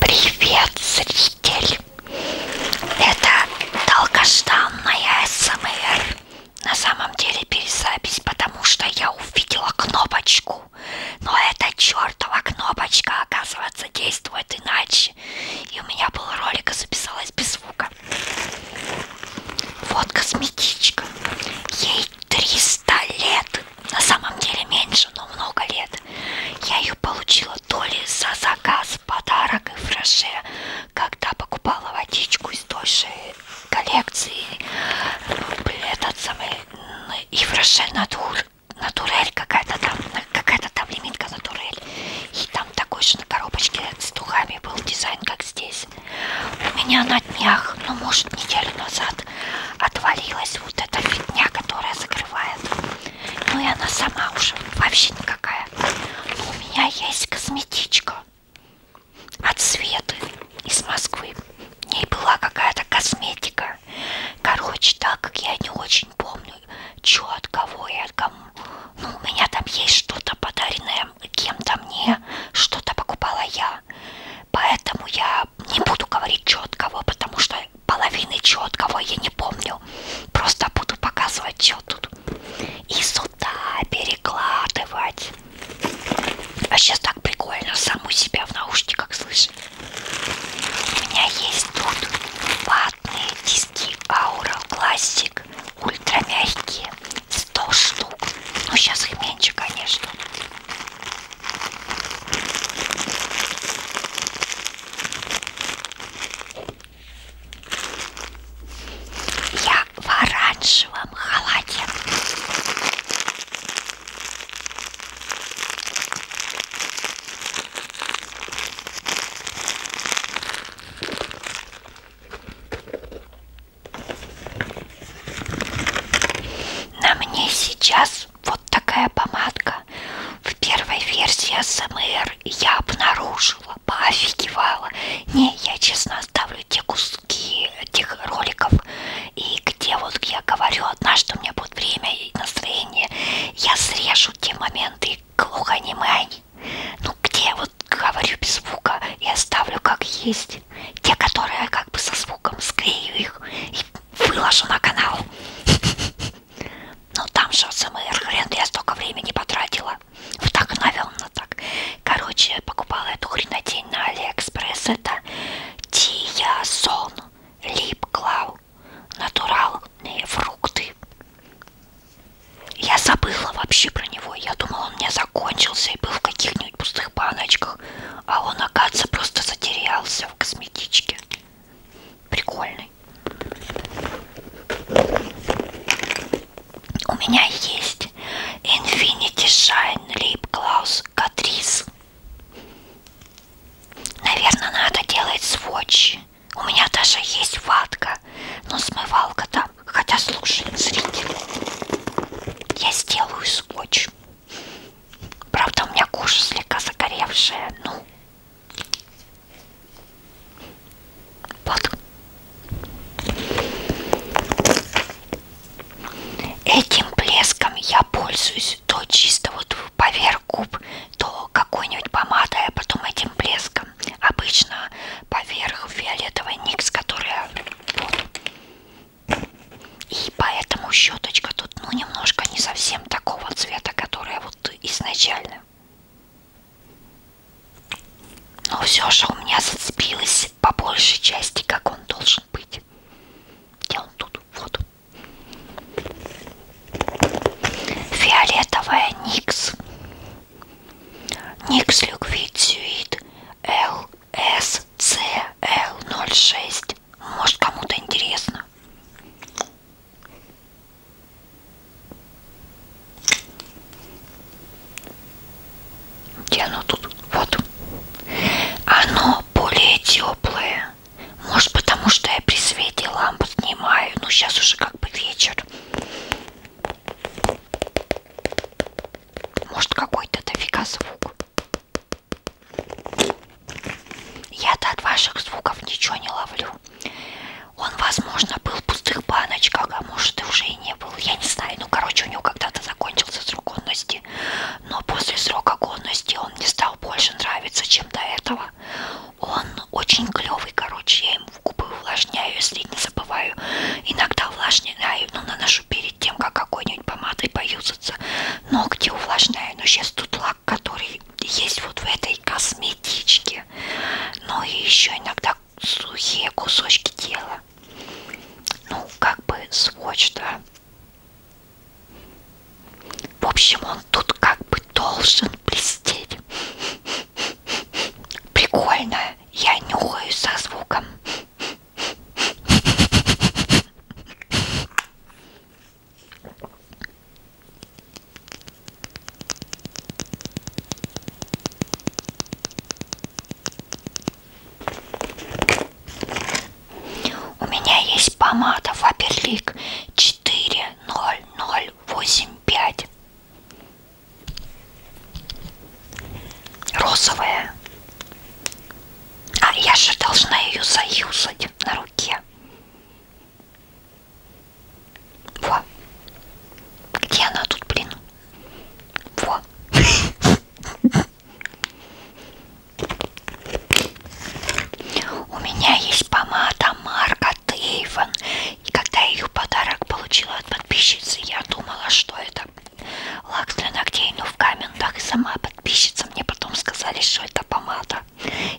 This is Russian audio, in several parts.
Привет, зритель! Это долгожданная СМР. На самом деле перезапись, потому что я увидела кнопочку. Но эта чертова кнопочка, оказывается, действует иначе. И у меня был ролик, и записалась без звука. Вот косметичка. Ей 300 лет на самом деле меньше, но много лет. Я ее получила то ли за заказ, подарок и фреше, когда покупала водичку из той же коллекции. Блин, этот самый и фреше натур, натурель, какая-то там, какая-то там лимитка натурель. И там такой же на коробочке с духами был дизайн, как здесь. У меня на днях, ну может неделю назад, отвалилась вот эта фигня, которая закрывает ну и она сама уже вообще никакая. Но у меня есть косметичка от Светы из Москвы. В ней была какая-то косметика. Короче, так как я не очень помню, что от кого и от кому. Ну, у меня там есть что-то подаренное кем-то мне, что-то покупала я. Поэтому я не буду говорить четкого, потому что половины четкого я не помню. Просто буду показывать, что тут. И сюда перекладывать. А сейчас так прикольно саму себя в наушниках слышать. У меня есть тут ватные диски Aura Classic ультрамягкие. 100 штук. Ну сейчас их меньше, конечно. Я в оранжевом халате. На мне сейчас раз вот такая помадка в первой версии АСМР я обнаружила, поофигевала. Не, я честно оставлю те куски тех роликов, и где вот я говорю однажды у меня будет время и настроение, я срежу те моменты глухонемань, ну где я вот говорю без звука и оставлю как есть, те, которые я как бы со звуком склею их и выложу на канал. Ну там же СМР, хрен, я столько времени потратила. Вдохновенно вот так. Ну Короче, я покупала эту хренотень на Алиэкспресс. Это Тиясон Лип Клау. Натуральные фрукты. Я забыла вообще про него. Я думала, он у меня закончился и был в каких-нибудь пустых баночках. А он, оказывается, просто затерялся в косметичке прикольный. У меня есть Infinity Shine Lip Gloss Catrice. Наверное, надо делать сводчи. У меня даже есть ватка, но смывалка там. Хотя, слушай, зритель, я сделаю сводч. Правда, у меня кожа слегка загоревшая, ну. Вот. Этим блеском я пользуюсь то чисто вот поверх губ, то какой-нибудь помадой, а потом этим блеском. Обычно поверх фиолетовой никс, которая вот, ну, и поэтому щеточка тут, ну, немножко не совсем такого цвета, которая вот изначально. Но все же у меня зацепилось по большей части, как он должен быть. Где он тут? Вот. Фиолетовая Никс. Никс Люквид Сюит ЛСЦЛ06 есть. Может, кому-то интересно. Где оно тут? Вот. Оно более теплое. Может, потому что я при свете лампу снимаю. Ну, сейчас уже как бы вечер. Может, какой-то дофига звук. Я-то от ваших звуков ничего не ловлю. Он, возможно, был в пустых баночках, а может и уже и не был. Я не знаю. Ну, короче, у него когда-то закончился срок годности. Но после срока годности он не стал больше нравиться, чем до этого. Он очень клевый, короче. Я ему в губы увлажняю, если не забываю. Иногда увлажняю, но наношу перед тем, как какой-нибудь помадой поюзаться. Ногти увлажняю. Но сейчас тут запах, который есть вот в этой косметичке. Но и еще иногда сухие кусочки тела. Ну, как бы сводч, да. В общем, он тут как бы должен блестеть. Прикольно. Я нюхаю со звуком. У меня есть помада Фаберлик 40085. Розовая. А я же должна ее заюзать на руке. Во. Где она тут, блин? Во. У меня есть помада Марка Тейвен. И когда я ее подарок получила от подписчицы, я думала, что это лак для ногтей, но в комментах сама подписчица мне потом сказали, что это помада помада.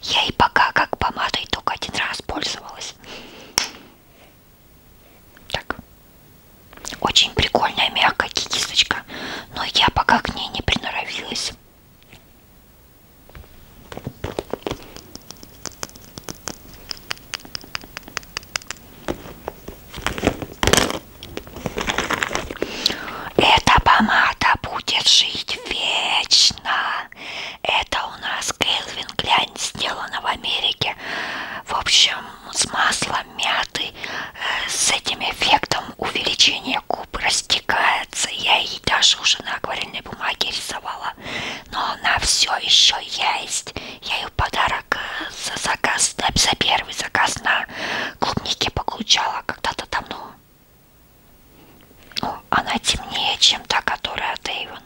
Я и пока как помадой только один раз пользовалась. Так. Очень прикольная мягкая кисточка, но я пока к ней не приноровилась. Эта помада будет жить вечно. Это у нас Келвин Глянь сделана в Америке. В общем, с маслом мяты, э, с этим эффектом увеличения губ растекается. Я ее даже уже на акварельной бумаге рисовала. Но она все еще есть. Я ее подарок э, за заказ, за первый заказ на клубнике получала когда-то давно. Ну, она темнее, чем та, которая от Эйвен.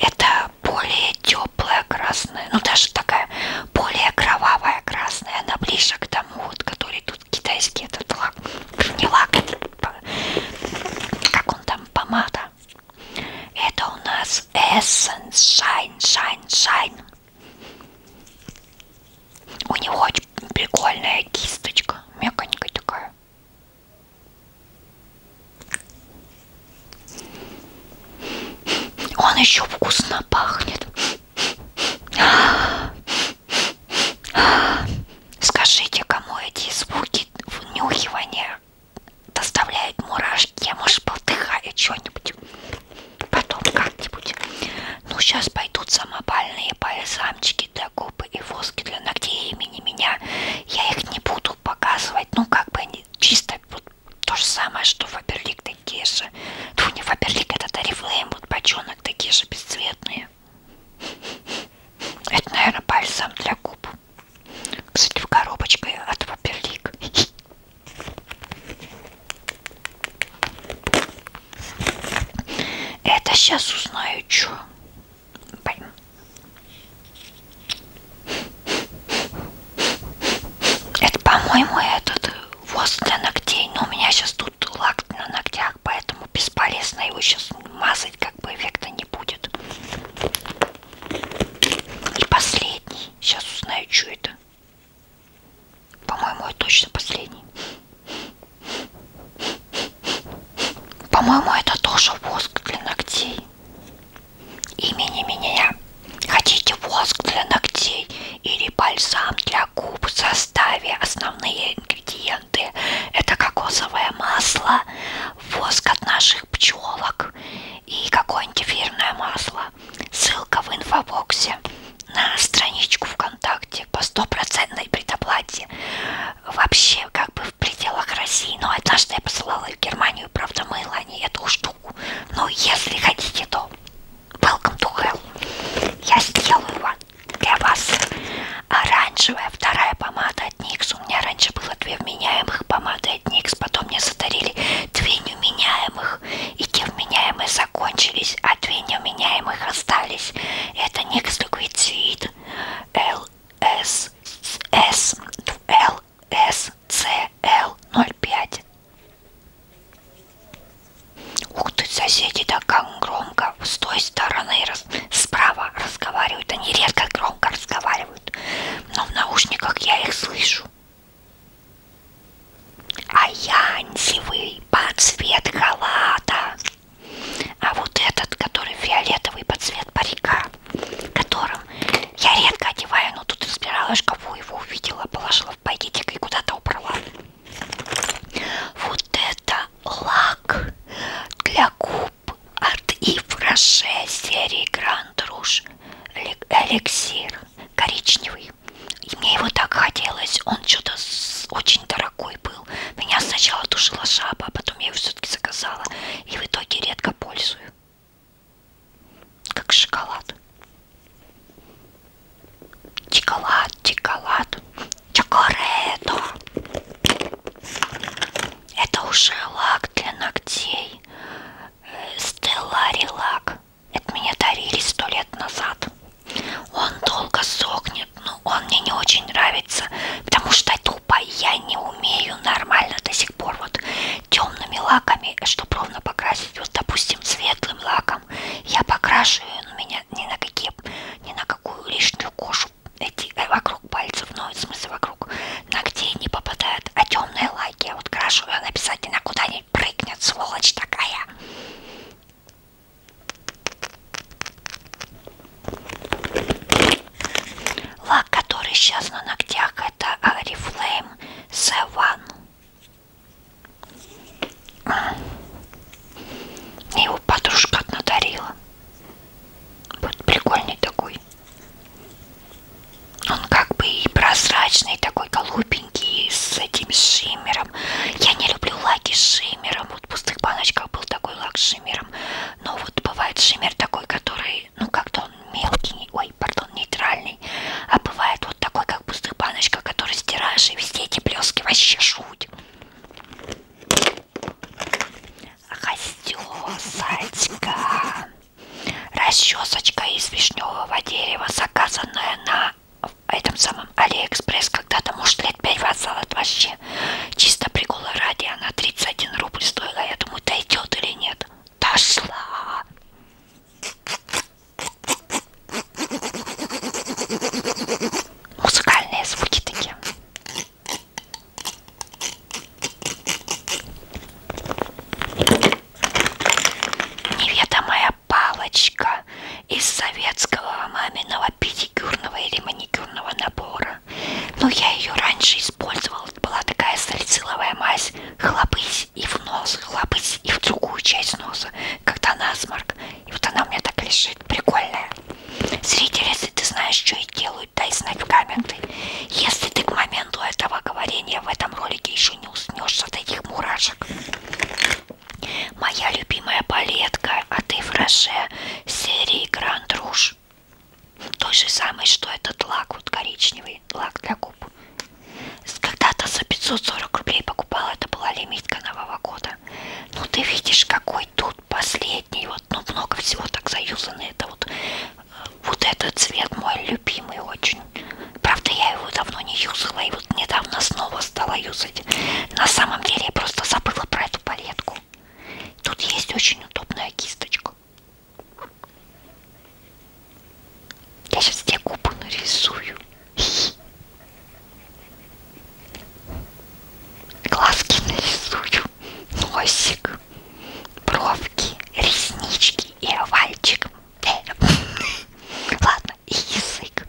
Это более теплая красная, ну даже такая более кровавая красная, она ближе к тому, вот, который тут китайский этот лак, не лак, как он там, помада. Это у нас Essence Shine Shine Shine. У него очень прикольная кисточка, мягонькая такая. Он еще вкусно пахнет. Скажите, кому эти звуки внюхивания доставляют мурашки? Я, может, повдыхаю что-нибудь потом как-нибудь. Ну, сейчас пойдут самопальные бальзамчики для губ и воски для ногтей имени меня. Я их не буду показывать, ну, как бы они чисто вот, то же самое, что Фаберлик такие же. Тьфу, не Фаберлик, это Тарифлейм, вот бочонок такие же бесцветные. Это, наверное, бальзам для губ. Кстати, в коробочке от Фаберлик. Это сейчас узнаю, что. Блин. Это, по-моему, этот воск для ногтей. Но у меня сейчас тут лак на ногтях, поэтому бесполезно его сейчас мазать, как бы эффекта не будет. И последний. Сейчас узнаю, что это. По-моему, это точно последний. По-моему, это тоже воск для ногтей. Имени меня. Хотите воск для ногтей или бальзам для губ в составе основные ингредиенты? Это кокосовое масло, воск от наших пчелок и какое-нибудь эфирное масло. Ссылка в инфобоксе на страничку ВКонтакте по стопроцентной предоплате. Вообще, как бы в пределах России. Но однажды я посылала в Германию, правда, мыла они эту штуку. Но если хотите, то welcome to hell. Я сделаю вам для вас оранжевая вторая помада от Никс. У меня раньше было две вменяемых помады от Никс, потом мне задарили две неуменяемых, и те вменяемые за закончились, а две неуменяемых остались. Это Next Liquid Suite LSS LSCL05. Ух ты, соседи, да как громко. С той стороны, раз, справа разговаривают. Они редко громко разговаривают. Но в наушниках я их слышу. Аянзевый под цвет халата. А вот этот, который фиолетовый под цвет парика, которым я редко одеваю, но тут разбирала шкафу, его увидела, положила в пакетик и куда-то убрала. Вот это лак для губ от Ив Роше серии Grand Rouge эликсир коричневый дорогой. И мне его так хотелось, он что-то очень дорогой был. Меня сначала душила жаба, а потом я его все-таки заказала. И в итоге редко пользую. Как шоколад. Чоколад, чоколад. Чокоретто. Это уже лак для ногтей. Стеллари э, лак. Это мне дарили сто лет назад. Он долго сохнет, но он мне не очень нравится, потому что тупо я не умею нормально до сих пор вот темными лаками, чтобы ровно покрасить. Вот, допустим, светлым лаком я покрашу, и он меня ни на какие, ни на какую лишнюю кожу эти э, вокруг пальцев, ну, в смысле вокруг ногтей не попадает, а темные лаки я вот крашу, и он обязательно куда-нибудь ней прыгнет, сволочь такая. Лак, который сейчас на ногтях, это Oriflame C1. А. Его подружка надарила. Вот прикольный такой. Он как бы и прозрачный, такой голубенький маленький с этим шиммером. Я не люблю лаки с шиммером. Вот в пустых баночках был такой лак с шиммером. Но вот бывает шиммер такой, который, ну как-то он мелкий, ой, пардон, нейтральный. А бывает вот такой, как в пустых баночках, который стираешь, и везде эти блески вообще шуть. Расчесочка из вишневого дерева, заказанная на в этом самом Алиэкспресс когда-то, может, лет 5 назад вообще. Чисто прикола ради, она 31 рубль стоила. Я думаю, дойдет или нет. Дошла! Музыкальные звуки такие неведомая палочка из советского маминого педикюрного или маникюрного набора. Но я ее раньше использовала. Была такая салициловая мазь. Хлопысь и в нос, хлопысь и в другую часть носа, когда насморк. И вот она у меня так лежит. Прикольная. Зритель, если ты знаешь, что я делаю, дай знать в комменты. Если ты к моменту этого говорения в этом ролике еще не уснешь от этих мурашек. Моя любимая палетка от Ифраше серии Grand Rouge. Той же самый, что этот лак, вот коричневый лак для губ. Когда-то за 540 рублей покупала, это была лимитка нового года. Ну ты видишь, какой тут последний, вот, ну много всего так заюзано. Это вот, э, вот этот цвет мой любимый очень очень. Правда, я его давно не юзала, и вот недавно снова стала юзать. На самом деле я просто забыла про эту палетку. Тут есть очень удобная кисточка. Я сейчас тебе губы нарисую. Глазки нарисую. Носик, бровки, реснички и овальчик. Э. Ладно, и язык.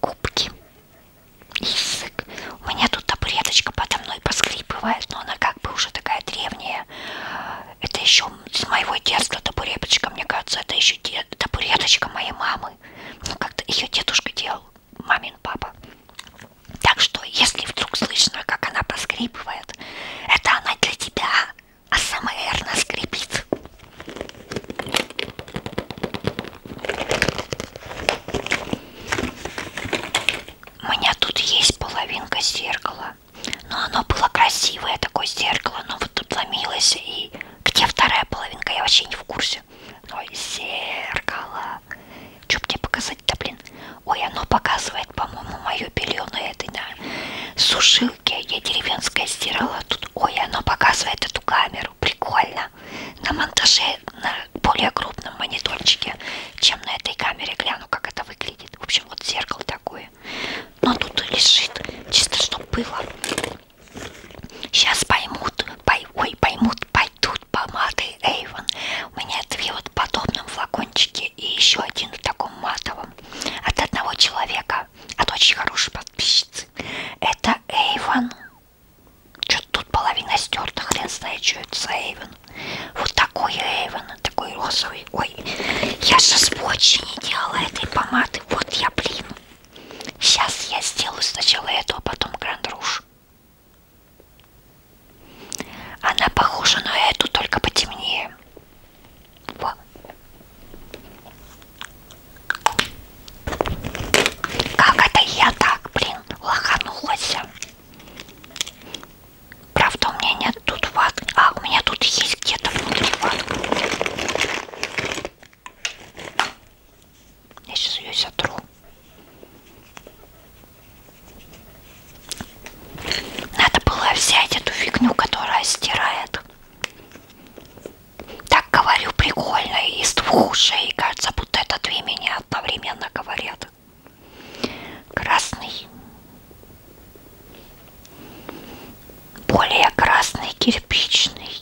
Губки. Язык. У меня тут табуреточка подо мной поскрипывает, но она как бы уже такая древняя. Это еще с моего детства табуреточка, мне кажется, это еще де... табуреточка моей мамы. Ну, как-то ее дедушка делал, мамин папа. Так что, если вдруг слышно, как она поскрипывает, это она для тебя а СМР нас скрипит. У меня тут есть половинка зеркала. Но оно было красивое, такое зеркало, но вот тут ломилось. И где вторая половинка, я вообще не в курсе. Ой, зеркало. Что мне показать-то, блин? Ой, оно показывает, по-моему, мое белье на этой, на суши страшилки я деревенская стирала тут. Ой, она показывает эту камеру. Прикольно. На монтаже на более крупном мониторчике, чем на этой камере. Гляну, как это выглядит. В общем, вот зеркало такое. Но тут лежит. Чисто, чтобы было. Сейчас поймут. Пой, ой, поймут. Пойдут помады Эйвен. У меня две вот подобном флакончики и еще один в таком матовом. От одного человека. От очень хорошей подписчицы. Это Эйвен. Что-то тут половина стерта, хрен знает, что это за Эйвен. Вот такой Эйвен, такой розовый. Ой, я же с больше не делала этой помады. Вот я, блин. Сейчас я сделаю сначала эту, а потом Гранд Руж. Она похожа на эту, только потемнее. Во. Как это я так, блин, лоханулась? Правда, у меня нет тут ватки. А, у меня тут есть где-то внутри ватка. Я сейчас ее сотру. Надо было взять эту фигню, которая стирает так говорю прикольно и из двух ушей. Кажется, будто это две меня одновременно говорят. Красный. Более красный кирпичный.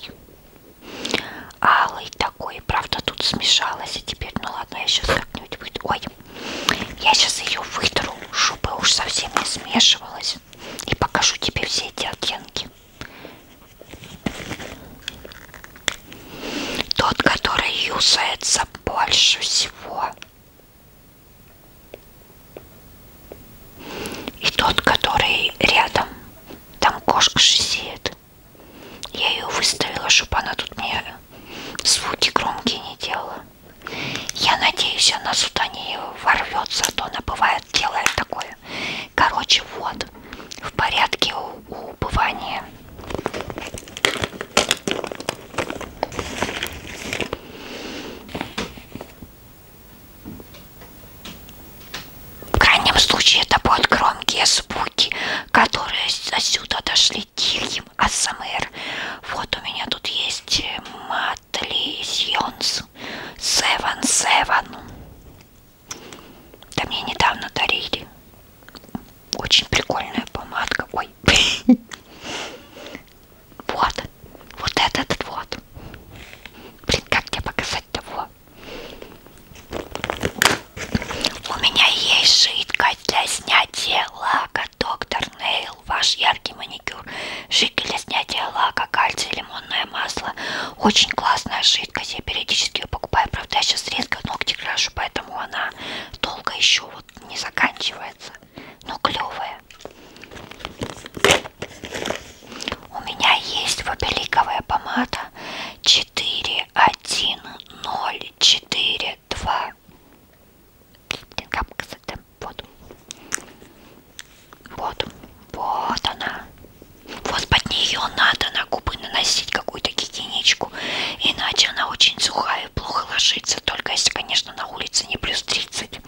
Алый такой. Правда, тут смешалась. И теперь, ну ладно, я сейчас как-нибудь выйду. Ой, я сейчас ее вытру, чтобы уж совсем не смешивалась и покажу тебе все эти оттенки. Тот, который юзается больше всего. И тот, который рядом. Там кошка шизеет. Я ее выставила, чтобы она тут мне звуки громкие не делала. Я надеюсь, она сюда не ворвется, а то она бывает бывает, делает такое. Короче, вот, в порядке у, у убывания. В крайнем случае это будут громкие звуки, которые отсюда дошли тихим АСМР. Вот у меня тут есть э, мат Атлисионс Севен Севен. Да мне недавно дарили. Очень прикольная помадка. Ой. Вот. Вот этот вот. Блин, как тебе показать того? У меня есть жидкость для снятия лака, доктор Нейл. Ваш яркий маникюр. Шики для снятия лака, кальций, лимонное масло. Очень классная жидкость. Я периодически ее покупаю. Правда, я сейчас резко ногти крашу, поэтому она долго еще вот не заканчивается. Но клевая. У меня есть вопеликовая помада 4104. 4, 2. Капка за темп. Вот. Вот. Вот она. Вот под нее надо на губы наносить какую-то гигиеничку. Иначе она очень сухая и плохо ложится. Только если, конечно, на улице не плюс 30.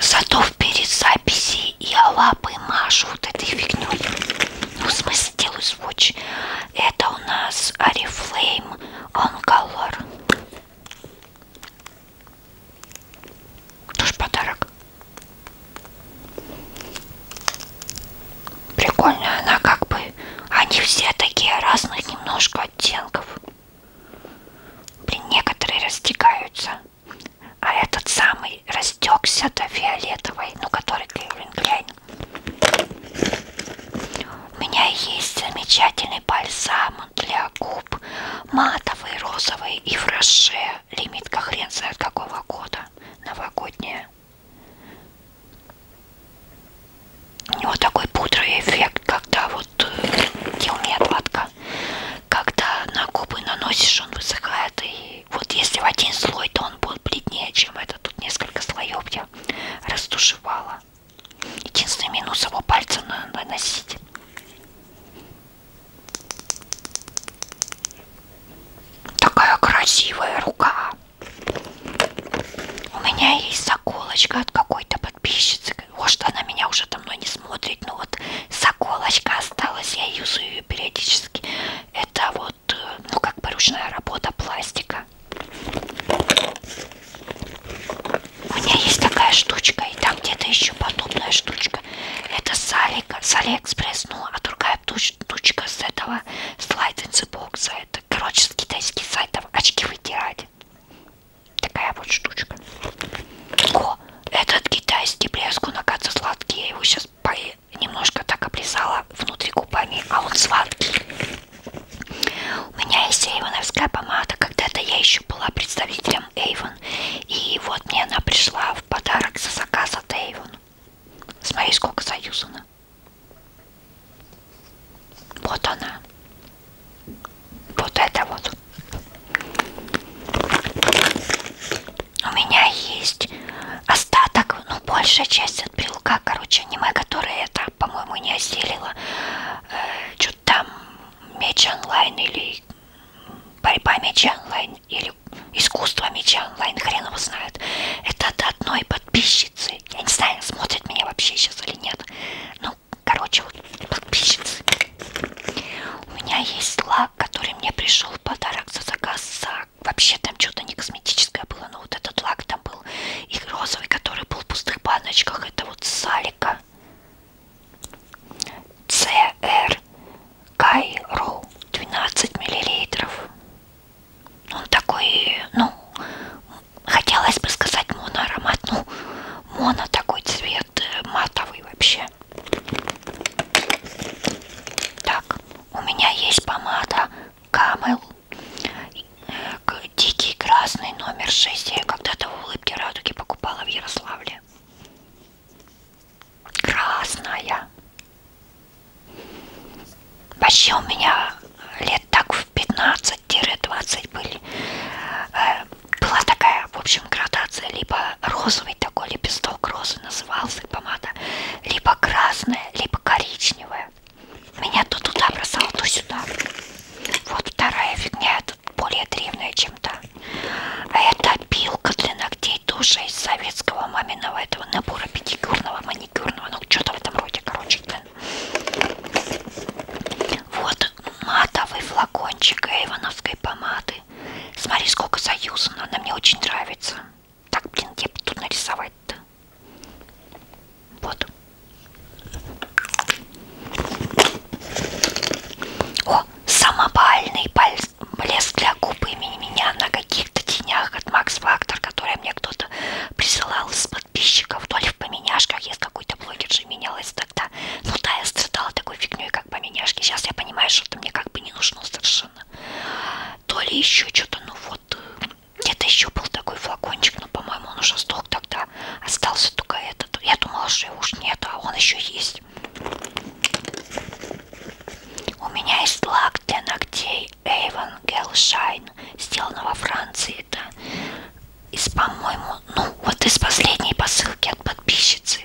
Зато в перезаписи я лапы машу вот этой фигней. Ну, в смысле? сделаю swatch. Это у нас Oriflame On Color. Тоже подарок. Прикольная она как бы. Они все такие разных немножко оттенков. Блин, некоторые растекаются. А этот самый растекся до фиолетовой, ну который Кливлин у меня есть замечательный бальзам для губ, матовый, розовый и в роше. Лимитка хрен знает какого года, новогодняя. У него такой пудровый эффект, когда вот э, где у меня отладка, когда на губы наносишь, он высыхает. И вот если в один слой, то он будет бледнее, чем это. Тут несколько слоев, где я растушевала. Единственный минус его пальцем надо наносить. Такая красивая рука. У меня есть заколочка от какой-то подписчицы. Может, она меня уже давно не смотрит, но вот заколочка осталась, я юзаю ее периодически. Это вот, э, ну, как бы ручная работа пластика. У меня есть такая штучка, и там где-то еще подобная штучка. Это с, Алика, с Алиэкспресс, ну, а другая штучка с этого слайд бокса. Это, короче, с китайских сайтов очки вытирать. Такая вот штучка. О, этот китайский блеск, он, оказывается, сладкий. Я его сейчас поем немножко так обрезала внутри губами, а он сладкий. У меня есть эйвоновская помада, когда-то я еще была представителем Эйвон, и вот мне она пришла в подарок за заказ от Эйвон. Смотри, сколько заюзано. Вот она. Вот это вот. У меня есть остаток, ну большая часть от брелка, короче, аниме, которое это, по-моему, не осилило. Э, Что-то там меч онлайн или борьба меча онлайн или искусство меча онлайн, хрен его знает. Это от одной подписчицы. Я не знаю, смотрит меня вообще сейчас или нет. Ну, короче, вот подписчицы. У меня есть лак, который мне пришел в подарок за заказ за лак. Вообще там что-то не косметическое было, но вот этот лак там был. И розовый, который был в пустых баночках. Это вот Салика. CR Кайро 12 миллилитров. Ну, он такой, ну, хотелось бы сказать моноаромат, ну, моно такой цвет э, матовый вообще. Так, у меня есть помада Camel Дикий красный номер 6. Я когда-то в улыбке радуги покупала в Ярославле. Красная. Вообще у меня лет так в 15-20 были. Э, была такая, в общем, градация. Либо розовый такой лепесток розы назывался помада. Либо красная, либо коричневая первая. Меня то туда бросало, то сюда. Вот вторая фигня, тут более древняя, чем та. А это пилка для ногтей тоже из советского маминого этого набора педикюрного, маникюрного, ну что-то в этом роде, короче. Да. Вот матовый флакончик эйвоновской помады. Смотри, сколько союзано, она мне очень нравится. Так, блин, где бы тут нарисовать-то? Вот. О, самобальный блеск для губ имени меня на каких-то тенях от Макс Фактор, который мне кто-то присылал с подписчиков, то ли в поменяшках, есть какой-то блогер же менялась тогда. Ну да, я страдала такой фигней, как поменяшки. Сейчас я понимаю, что это мне как бы не нужно совершенно. То ли еще что-то, ну вот вот где-то еще был такой флакончик, но, по-моему, он уже сдох тогда. Остался только этот. Я думала, что его уж нет, а он еще есть. У меня есть лак для ногтей Avon Gel Shine, сделан во Франции. Это из, по-моему, ну, вот из последней посылки от подписчицы.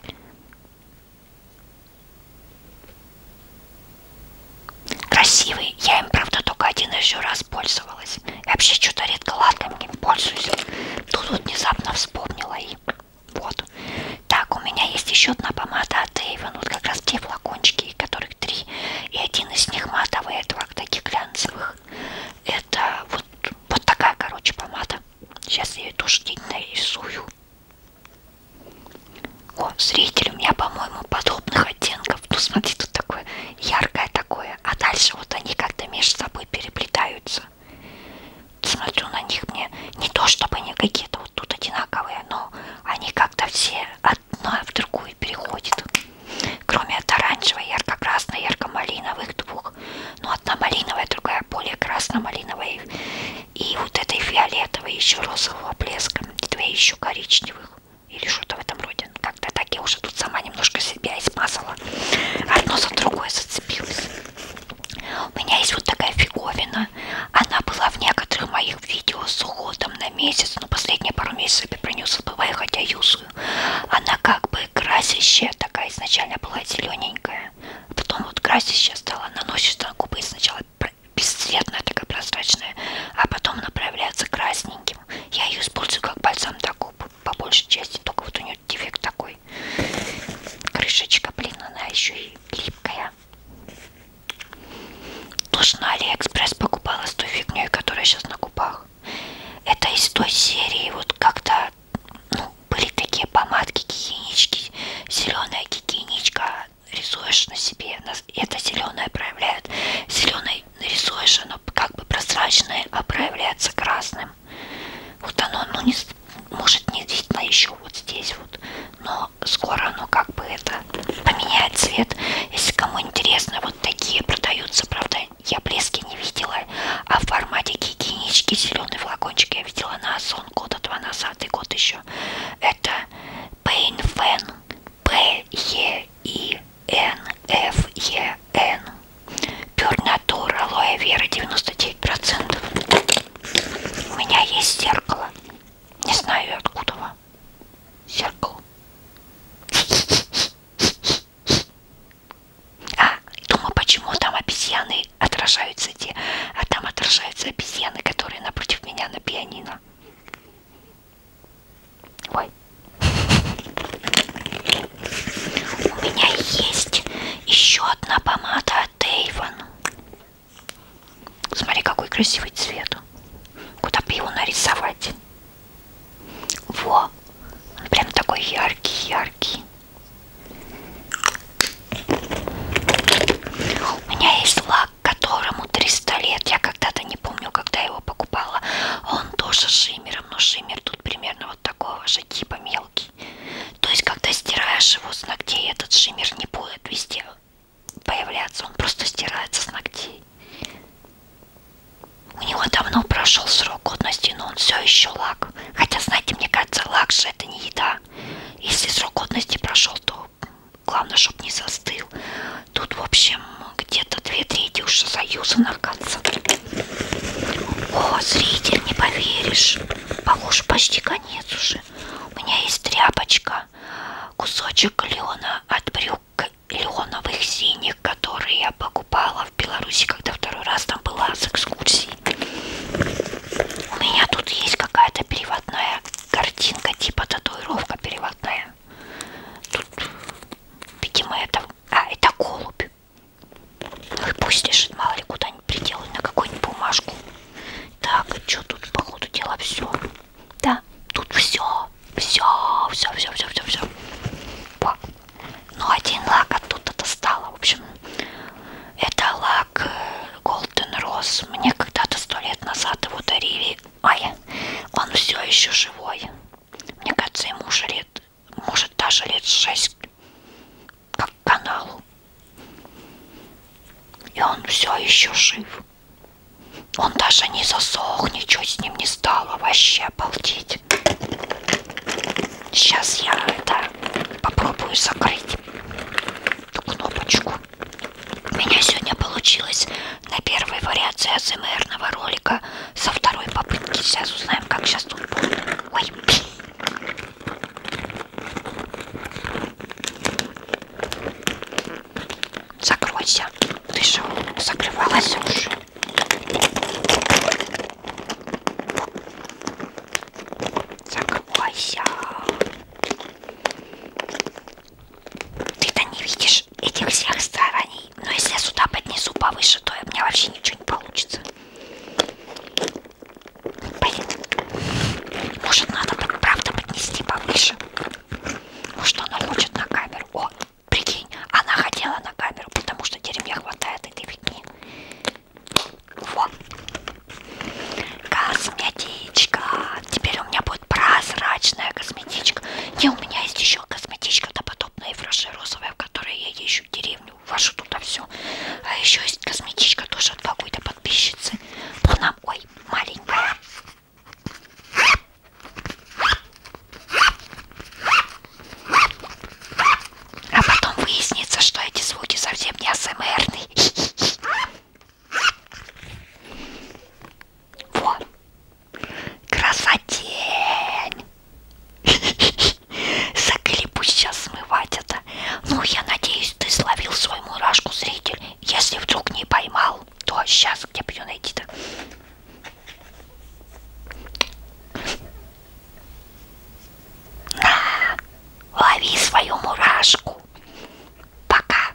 Красивый. Я им, правда, только один еще раз пользовалась. Я вообще что-то редко латками пользуюсь. Тут вот внезапно вспомнила и вот. Так, у меня есть еще одна помада от Avon. Вот как раз те флакончики, которых три. И один из них матовый, а два таких глянцевых. Это вот, вот такая, короче, помада. Сейчас я ее тоже день нарисую. О, зритель, у меня, по-моему, подобных оттенков. Ну, смотри, тут такое яркое такое. А дальше вот они как-то между собой переплетаются. Смотрю на них мне не то, чтобы они какие-то вот тут одинаковые, но они как-то все одна в другую переходят. Кроме от оранжевой, ярко-красной, ярко-малиновых двух. Ну, одна малиновая, другая более красно-малиновая. И вот этой фиолетовой, еще розового блеска. Две еще коричневых или что-то в этом роде. Как-то так я уже тут сама немножко себя измазала. Одно за другое зацепилось. У меня есть вот такая фиговина. Она была в некоторых моих видео с уходом на месяц. Но последние пару месяцев я про нее забываю, хотя юзую. Она как бы красящая такая. Изначально была зелененькая. Потом вот красящая стала. Наносишь на губы сначала бесцветная, такая прозрачная, а потом она проявляется красненьким. Я ее использую как бальзам для губ, по большей части, только вот у нее дефект такой. Крышечка, блин, она еще и липкая. Тоже на ну, Алиэкспресс покупала с той фигней, которая сейчас на губах. Это из той серии, вот как-то, ну, были такие помадки, гигиенички, зеленая гигиеничка, рисуешь на себе, это зеленое проявляет, зеленый рисуешь, оно как бы прозрачное, а проявляется красным. Вот оно, ну не, может не видно еще вот здесь вот, но скоро оно как бы это поменяет цвет. Если кому интересно, вот такие продаются, правда, я блески не видела, а в формате гигиенички зеленый флакончик я видела на сон года два назад и год еще. Это Pain Fan П-Е-И-Н-Ф-Е-Н. Пернатур, алоэ вера 99%. У меня есть зеркало. Не знаю откуда вам. Зеркало. А, думаю, почему там обезьяны отражаются те, а там отражаются обезьяны, которые напротив меня на пианино. Ой. У меня есть еще одна помада от Эйвен. Смотри, какой красивый цвет. Куда бы его нарисовать? Во! Он прям такой яркий-яркий. У меня есть лак которому 300 лет, я когда-то не помню, когда его покупала, он тоже с шиммером, но шиммер тут примерно вот такого же типа мелкий. То есть, когда стираешь его с ногтей, этот шиммер не будет везде появляться, он просто стирается с ногтей. У него давно прошел срок годности, но он все еще лак. Хотя, знаете, мне кажется, лак же это не еда. Если срок годности прошел, то Главное, чтобы не застыл. Тут, в общем, где-то две трети уже заюзано в конце. О, зритель, не поверишь. Похоже, почти конец уже. У меня есть тряпочка. Кусочек лена от брюк леоновых синих, которые я покупала в Беларуси, когда второй раз там была с экскурсией. У меня тут есть какая-то переводная картинка, типа татуировка переводная знаю. Тут, видимо, это... А, это голубь. Ну и пусть лежит, мало ли, куда-нибудь приделать, на какую-нибудь бумажку. Так, что тут, походу, дела все. Да, тут все, все, все, все, все, все, все. Ну, один лак оттуда достала, в общем. Это лак э, Golden Rose. Мне когда-то сто лет назад его дарили Ай, он все еще живой. Мне кажется, ему уже лет, может даже лет шесть, как каналу. И он все еще жив. Он даже не засох, ничего с ним не стало. Вообще обалдеть. Сейчас я это попробую закрыть эту кнопочку. У меня сегодня получилось на первой вариации АСМРного ролика со второй попытки. Сейчас узнаем, как сейчас тут будет. Ой. Закройся. Ты же закрывалась уже. Закройся. Ты-то не видишь этих всех стараний. Но если я сюда поднесу повыше, то у меня вообще ничего не получится. Блин. Может, надо правда поднести повыше? Может, она хочет на камеру? О, прикинь, она хотела на камеру, потому что дерьме хватает этой фигни. Вот. Косметичка. Теперь у меня будет вот прозрачная косметичка. Не, у меня есть еще косметичка-то подобная фраши розовая, в которой я езжу в деревню, вашу туда все. А еще есть косметичка тоже от какой-то подписчицы. Но она, ой, маленькая. А потом выяснится, что эти звуки совсем не АСМРные. Вот. Красотень! Заколебусь сейчас смывать это. Ну, я надеюсь, ты словил свою мурашку, зритель. Если вдруг не поймал, то сейчас где бы ее найти-то? На, лови свою мурашку. Пока.